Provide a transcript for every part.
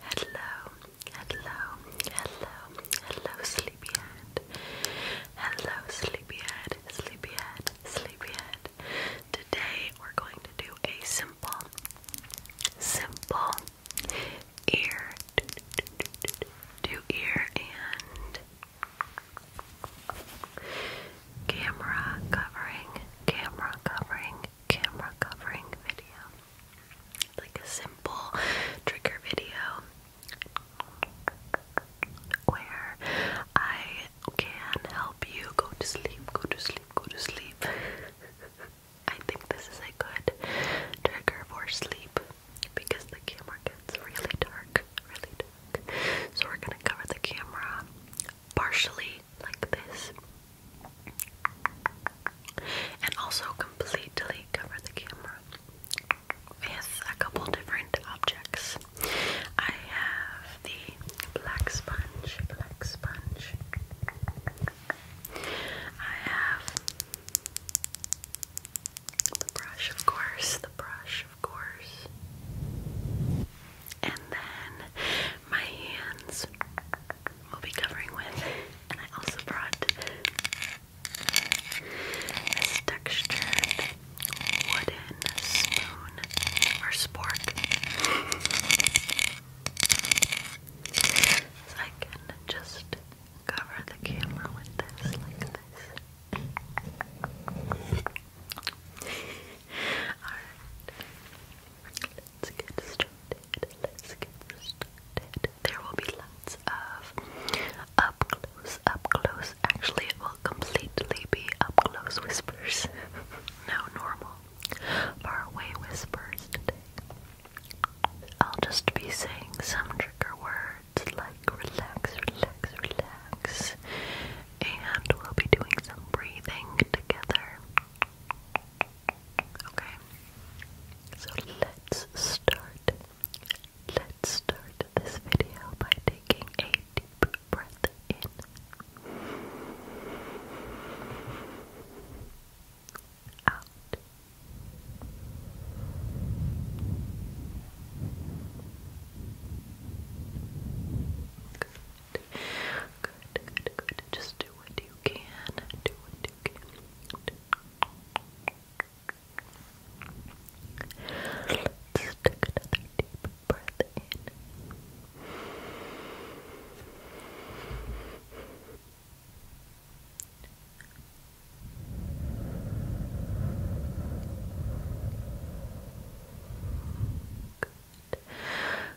Hello, hello, hello, hello, sleepyhead. Hello, sleepyhead, sleepyhead, sleepyhead. Today we're going to do a simple, simple ear to ear and camera covering, camera covering, camera covering video. Like a simple trigger video where I can help you go to sleep, go to sleep, go to sleep. I think this is a good trigger for sleep because the camera gets really dark, really dark. So we're gonna cover the camera partially like this. And also completely cover the camera with a couple different objects. I have the black sponge, black sponge. I have the brush, of course, the brush, of course. And then my hands we'll be covering with. And I also brought this textured wooden spoon or spork. So I can just cover the camera with this like this. Alright let's get started. Let's get started. There will be lots of up close, up close. Actually, it will completely be up close whispers. no normal, far away whispers today. I'll just be saying some trigger words like relax, relax, relax, and we'll be doing some breathing together. Okay. So let's start. Let's start this video by taking a deep breath in. Out. Good. Good, good, good. Just do do what you can, do what you can. take another deep breath in. Good.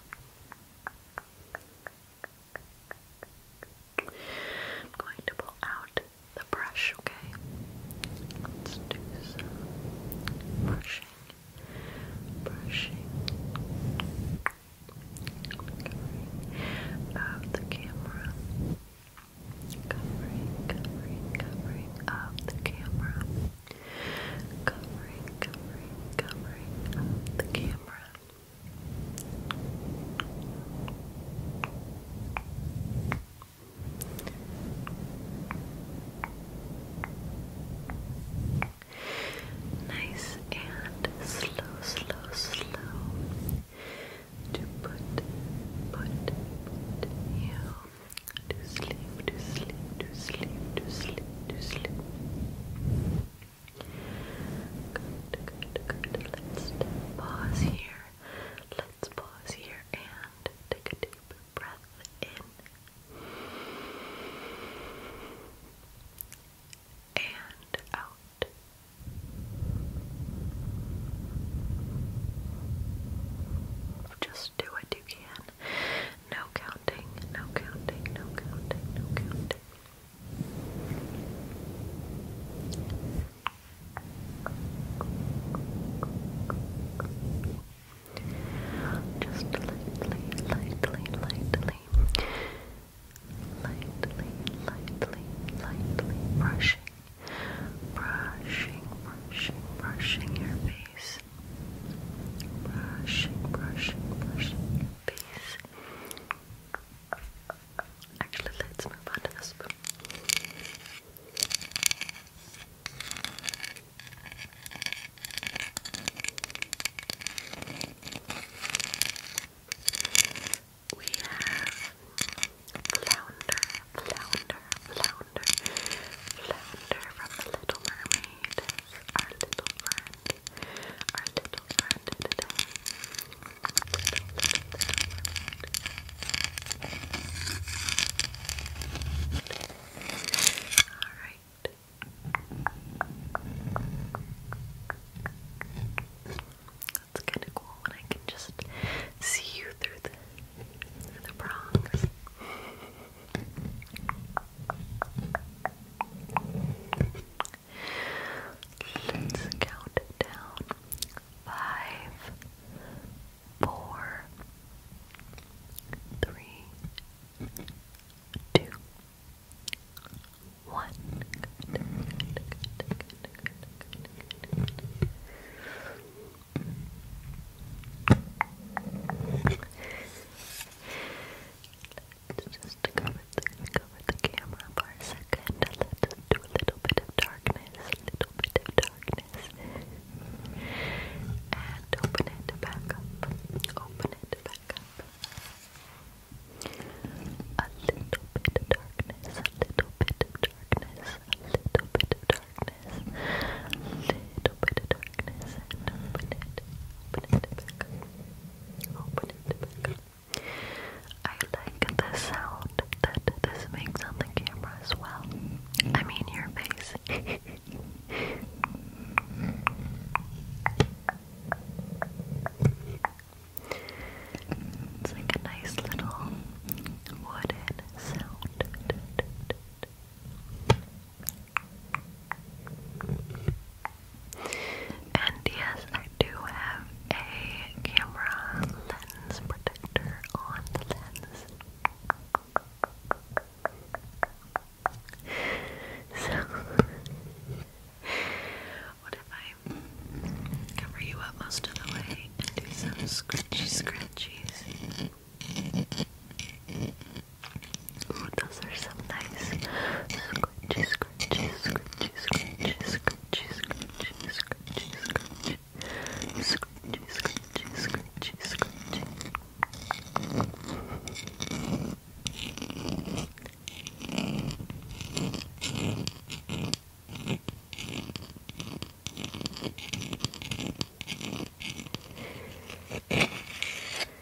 I'm going to pull out the brush, okay? Let's do some brushing, brushing, covering of the camera, covering, covering, covering of the camera covering, covering, covering the camera. Nice and slow, slow, slow to put, put, put you to sleep, to sleep, to sleep, to sleep, to sleep. Good, good, good. Let's pause here. Let's pause here and take a deep breath in. And out. Just do what you can. No counting, no counting, no counting, no counting. Just lightly, lightly, lightly, lightly, lightly, lightly brushing, brushing, brushing, brushing your face. Brushing, brushing, brushing your Actually, let's move on to the spoon. We have flounder, flounder, flounder, flounder from the Little Mermaid our little friend, our little All right. That's kind of cool when I can just see you through the, through the prongs. Let's count down. Five, four, three, two, one just cover cover the camera for a 2nd a little bit of darkness, a little bit of darkness. And open it back up. Open it back up. A little bit of darkness, a little bit of darkness, a little bit of darkness, little bit of open it, open it Open it I like the sound that this makes on the camera as well. I mean, your face. It's like a nice little wooden sound. And yes, I do have a camera lens protector on the lens. So, what if I cover you up most of the way and do some scratchy scratchies? Those are some nice scratchy, scratchy, scratchy, scratchy, scratchy, scratchy, scratchy, scratchy. Scratchy, scratchy, scratchy, scratchy. And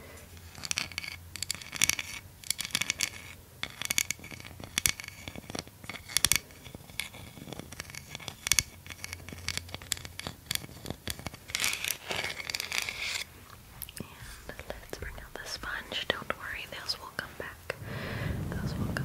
let's bring out the sponge. Don't worry, those will come back. Those will come back.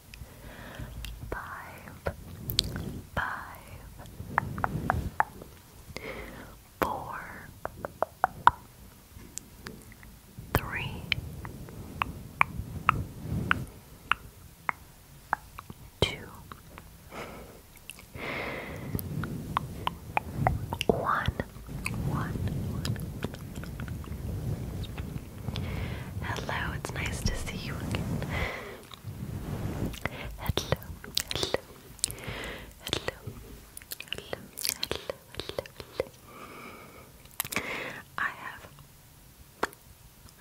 five, five, four, three, two, one, one, one. Hello, it's nice to see you again hello, hello, hello, hello, hello, hello. I have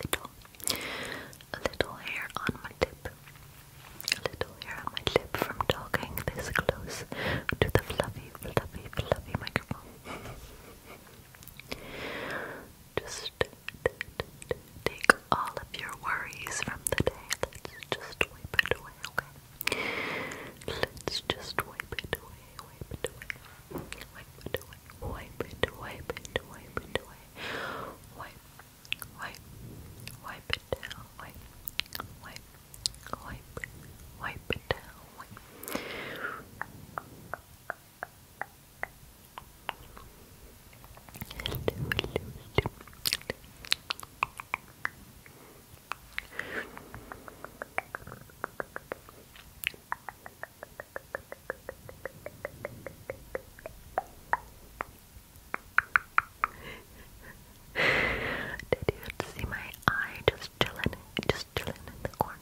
little, a little hair on my lip, a little hair on my lip from talking this close to the fluffy, fluffy, fluffy microphone. Just Take all of your worries from the day. Let's just wipe it away, okay? Let's just wipe it away, wipe it away. Wipe it away, wipe it, away. Wipe, wipe, wipe it wipe, wipe, wipe, it Wipe, did you see my eye just chilling, just chilling in the corner?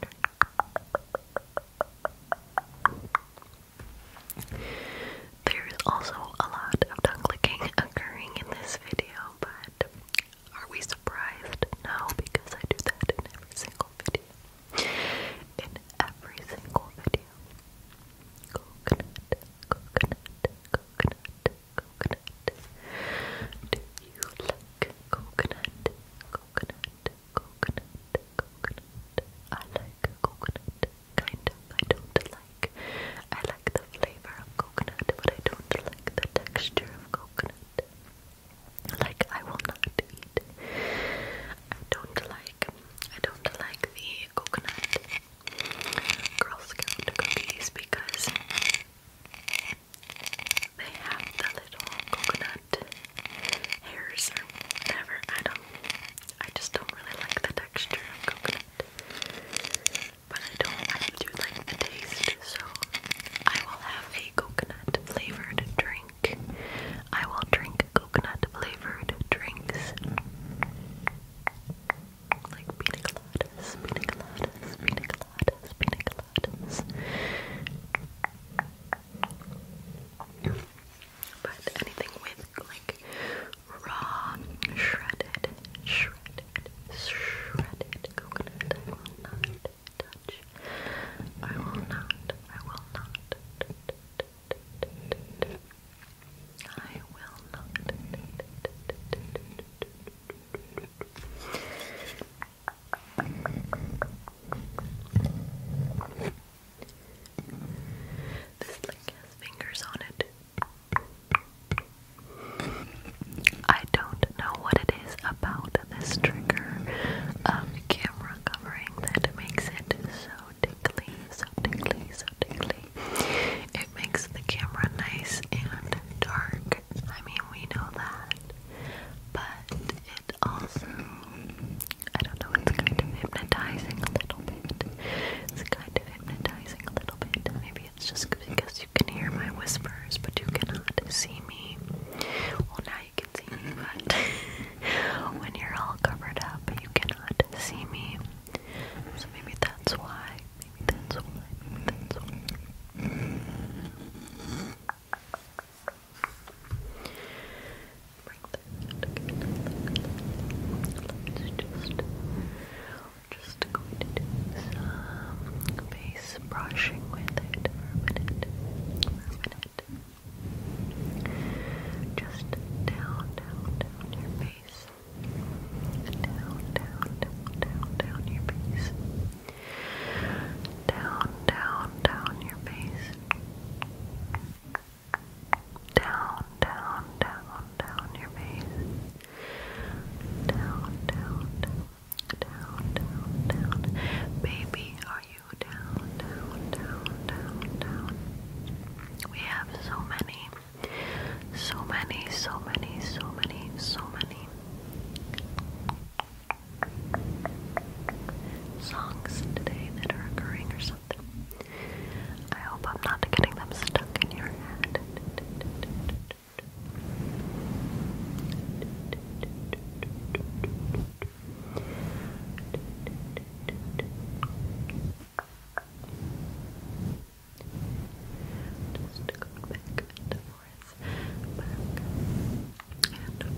There is also a lot of tongue clicking occurring in this video, but are we surprised? No, because I do that in every single video. In every single video. Coconut, coconut, coconut, coconut. Do you like coconut? Coconut, coconut, coconut. I like coconut, kind I don't like. I like the flavor of coconut, but I don't like the texture of coconut. Like I will not eat. I don't like. I don't like the coconut Girl Scout cookies because. They have the little coconut hairs whatever. I don't. I just don't really like the texture of coconut. But I don't. I do like the taste, so I will have a coconut flavored drink. I will drink coconut flavored drinks. Like pina coladas, pina coladas, but anything with like raw, shredded, shredded, shredded coconut, I will not I will not. I will not. This link has fingers on it. I don't know what it is about this trigger um, camera covering that makes it so tickly, so tickly, so tickly. It makes the camera nice and dark. I mean, we know that. But it also I don't know, it's kind of hypnotizing a little bit. It's kind of hypnotizing a little bit. Maybe it's just because you can hear my whispers, but you cannot see me. Well, now you can see me, but when you're all covered up, you cannot see me. So maybe that's why. Maybe that's why. Maybe that's why just, just going to do some base brushing with it for a minute, for Just down, down, down your face. Down, down, down, down, down your face. Down, down, down your face down, down, down, down your face. Down, down, down, down, down, down. Baby, are you down, down, down, down, down? We have so many, so many, so many, so many, so many songs today that are occurring or something. I hope I'm not getting them stuck in your head. Just going back and forth, back and forth,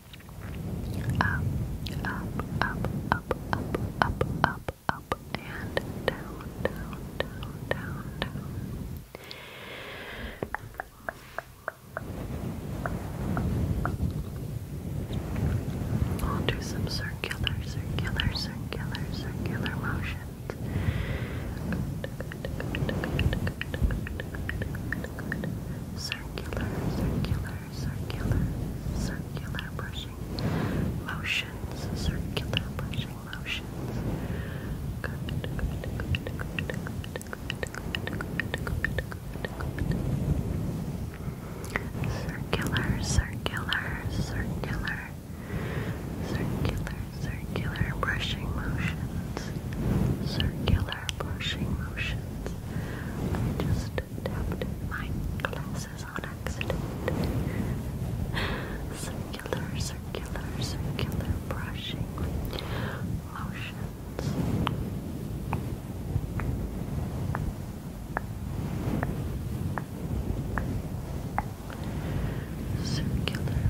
up, up, up, up, up, up, up, up, and down, down, down, down, down. I'll do some circular, circular, circular, circular motions. Good, good, good, good, good, good, good, good, good, good. Circular, circular, circular, circular brushing motions, circular brushing motions. Circular, circular, circular, circular, circular brushing motions, circular brushing motions. I just tapped my glasses on accident. Circular, circular, circular brushing motions. Circular,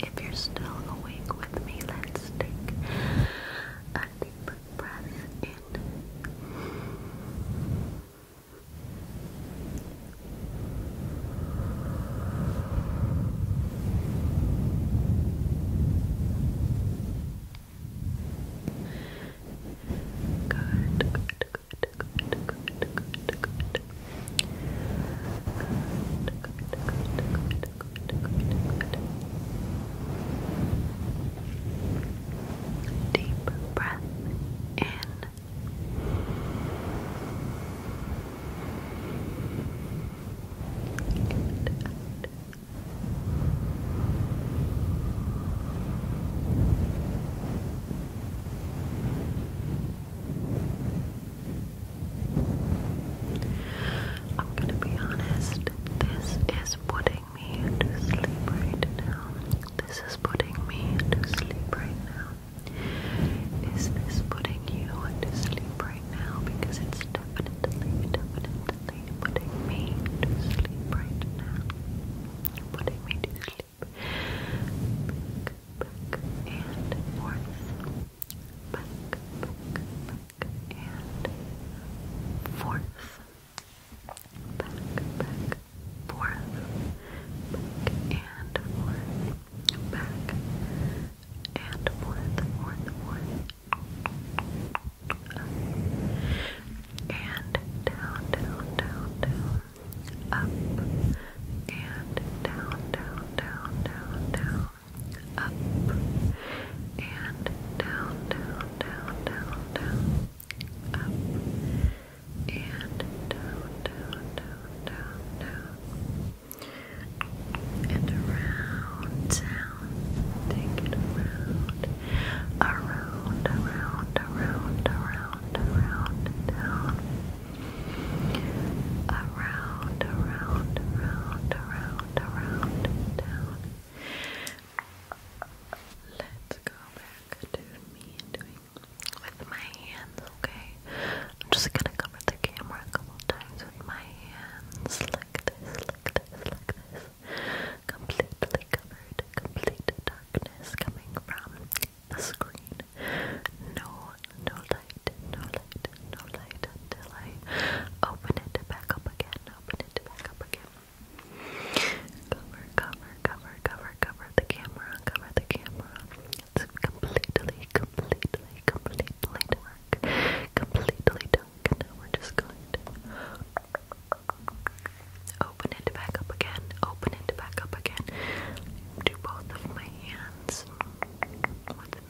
If you're still awake with me, let's take a deep breath in. Good, good, good, good, good, good, good, Deep breath in. out. I'm gonna be honest, this is putting me to sleep right now. This is putting me to sleep right now. Is this putting you to sleep right now? Because it's definitely, definitely putting me to sleep right now. Putting me to sleep. Back, and forth back, back, and forth. Back, back, forth. Back and forth. Back and forth, forth, forth. And down, down, down, down. Up. And down, down, down, down, down up and down, down, down, down, down, up and down, down, down, down, down, and around, down, take it around, around, around, around, around, down around, around, around, around, around, down. Let's go back to me doing with my hands, okay? I'm just gonna cover the camera a couple times with my hands, like this, like this, like this. Completely covered, complete darkness coming from the screen. No, no light, no light, no light until I open it back up again, open it back up again. Cover, cover, cover, cover, cover the camera, cover the camera. It's completely, completely, completely dark. Completely dark. we're just going to open it back up again, open it back up again. Do both of my hands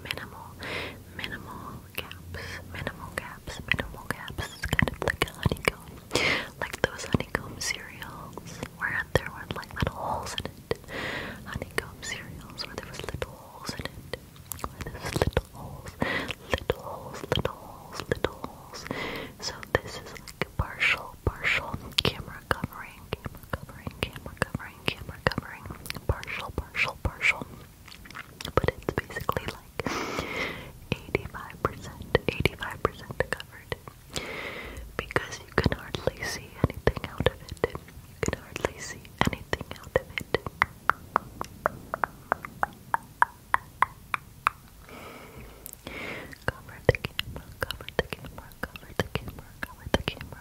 minimal, minimal gaps, minimal gaps, minimal gaps. It's kind of like a honeycomb, like those honeycomb cereals where there were like little holes in it. Honeycomb cereals where there was little holes in it. Where there was little holes, little holes, little holes, little holes. So this is like a partial, partial camera covering, camera covering, camera covering, camera covering partial, partial, partial. But it's basically like 85%, 85% covered. Because you can hardly see anything out of it. You can hardly see anything out of it. Cover the camera, cover the camera, cover the camera, cover the camera.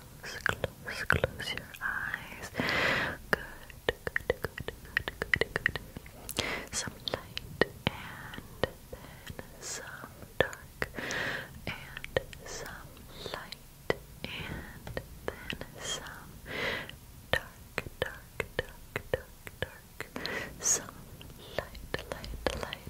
close, close, close your eyes. Good, good, good, good, good, good. Some light and then some dark and some light and then some dark, dark, dark, dark, dark. Some light, light, light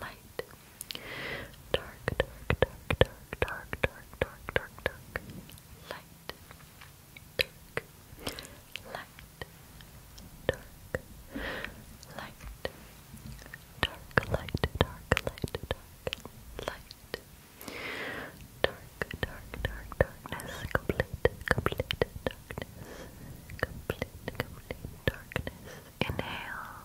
light. Dark, dark, dark, dark, dark, dark, dark, dark, dark, light. Dark, light, dark, light, dark, light, dark, light, dark, light. Dark, dark, dark, darkness, complete, complete darkness, complete, complete darkness. Inhale,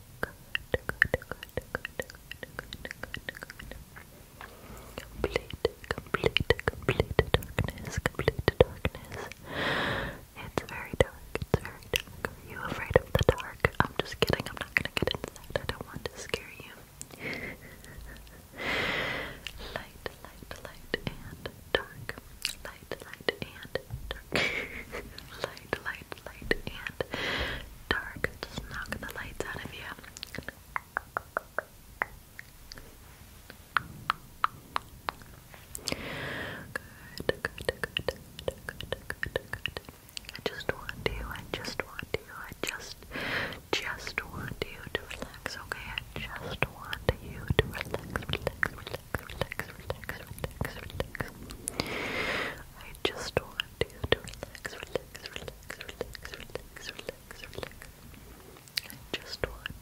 Complete, complete, complete darkness, complete darkness. It's very dark, it's very dark. Are you afraid of the dark? I'm just kidding, I'm not gonna get inside. I don't want to scare you. light, light, light, and dark. Light, light, and dark. light, light, light, light, and dark. Just knock the lights out of you. Good, good, good, good, good, good, good. I just want you, I just want you, I just, just want you to relax, okay? I just want you to relax, relax, relax, relax, relax, relax. I just want I just want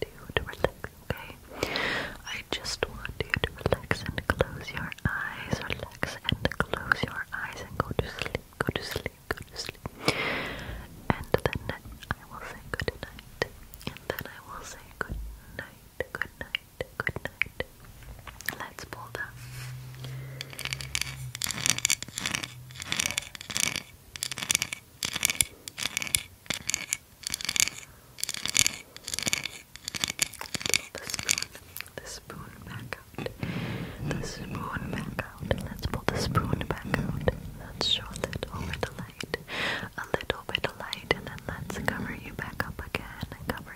you to relax, okay? I just want you to relax and close your eyes, relax and close your eyes and go to sleep, go to sleep, go to sleep. And then I will say good night. And then I will say good night, good night, good night, Let's pull The spoon, the spoon back out. The spoon back out. Let's pull the spoon back out. Let's show a little bit light. A little bit of light, and then let's cover you back up again. Cover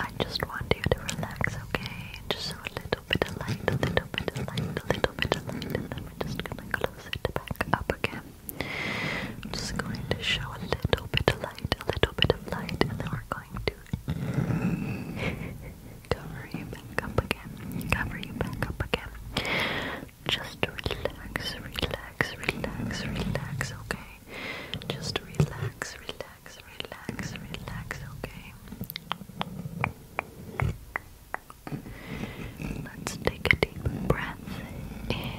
I just want you to relax, okay? Just a little bit of light, a little bit of light, a little bit of light, and then we're just gonna close it back up again. I'm just going to show a little bit of light, a little bit of light, and then we're going to cover you back up again. Cover you back up again. Just relax, relax, relax, relax, okay? Just relax, relax relax, relax, relax, okay? Let's take a deep breath in.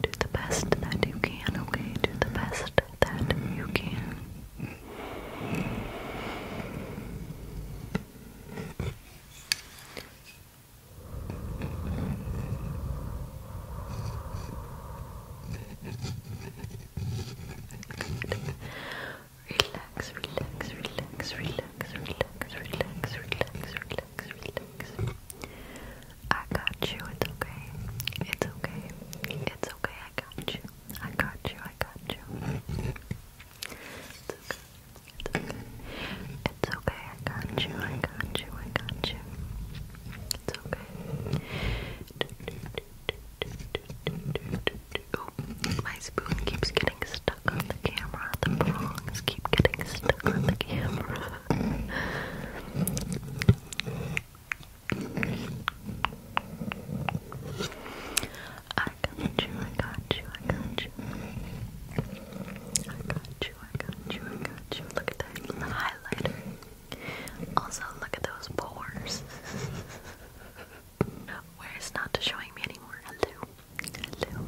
Do the best that you can, okay? Do the best that you can. Relax, relax, relax, relax, relax, relax, relax, relax, relax. I got you. It's okay. It's okay. It's okay. I got you. I got you. I got you. It's okay. It's okay. It's okay. I got you. I got you. I got you. It's okay. my spoon keeps getting stuck on the camera. The prongs keep getting stuck on the camera. I got you, I got you, I got you. I got you, I got you, I got you. Look at that highlighter. Also, look at those pores. Where it's not showing me anymore. Hello.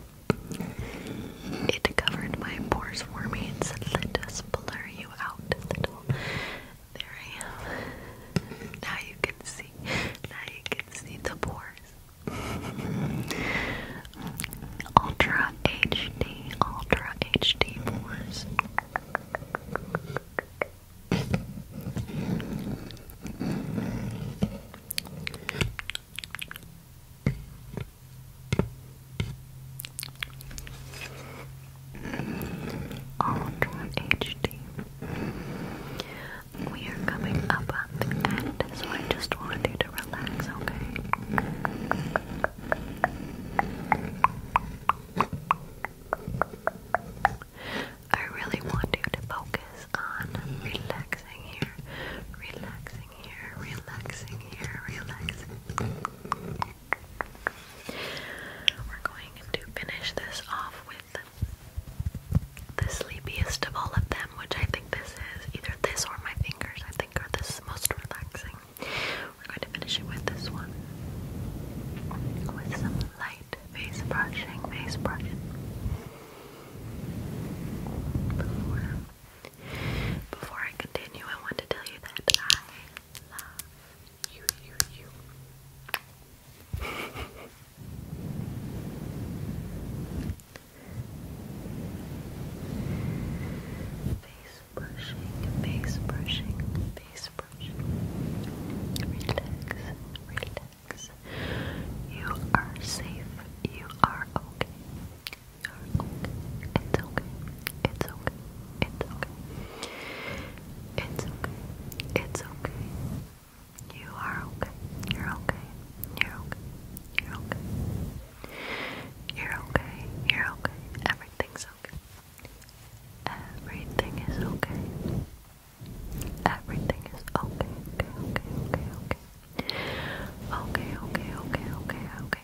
Hello. It covered my pores for me. It said, let us blur you out. Let there I am. Now you can see. Now you can see the pores. Ultra HD, Ultra HD pores. Ultra HD. We are coming up on the end, so I just want you to relax, okay? I really want you to focus on relaxing here, relaxing here, relaxing here, relaxing. We're going to finish this off with the sleepiest of all of them, which I think this is either this or my fingers, I think are this most relaxing. We're going to finish it with this one. With some light face brushing, face brushing. Before, before I continue, I want to tell you that I love you, face brushing, face brushing, face brushing. Relax, relax. You are safe. You are okay. You are okay. It's okay. It's okay. It's okay. It's okay. It's okay. You are okay. You're okay. You're okay. You're okay. You're okay. You're okay. Everything's okay. Everything is okay. Everything is okay. Okay, okay, okay, okay. Okay, okay, okay, okay, okay.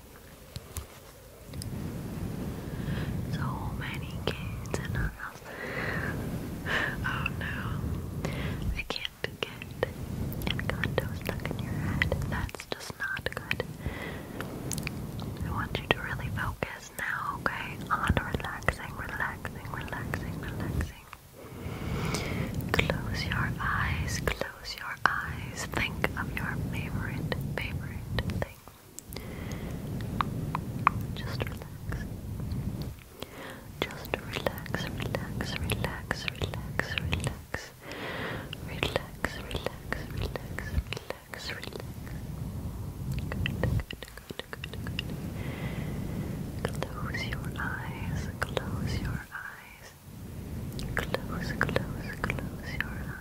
So many kids in our house. oh no. I can't get encanto stuck in your head. That's just not good. I want you to really focus now, okay? On relaxing, relaxing, relaxing, relaxing. Close your eyes, close your eyes. Think of your favorite, favorite thing just relax. Just relax, relax, relax, relax, relax. Relax, relax, relax, relax, relax. Good, good, good, good, good. Close your eyes, close your eyes. Close, close, close your eyes.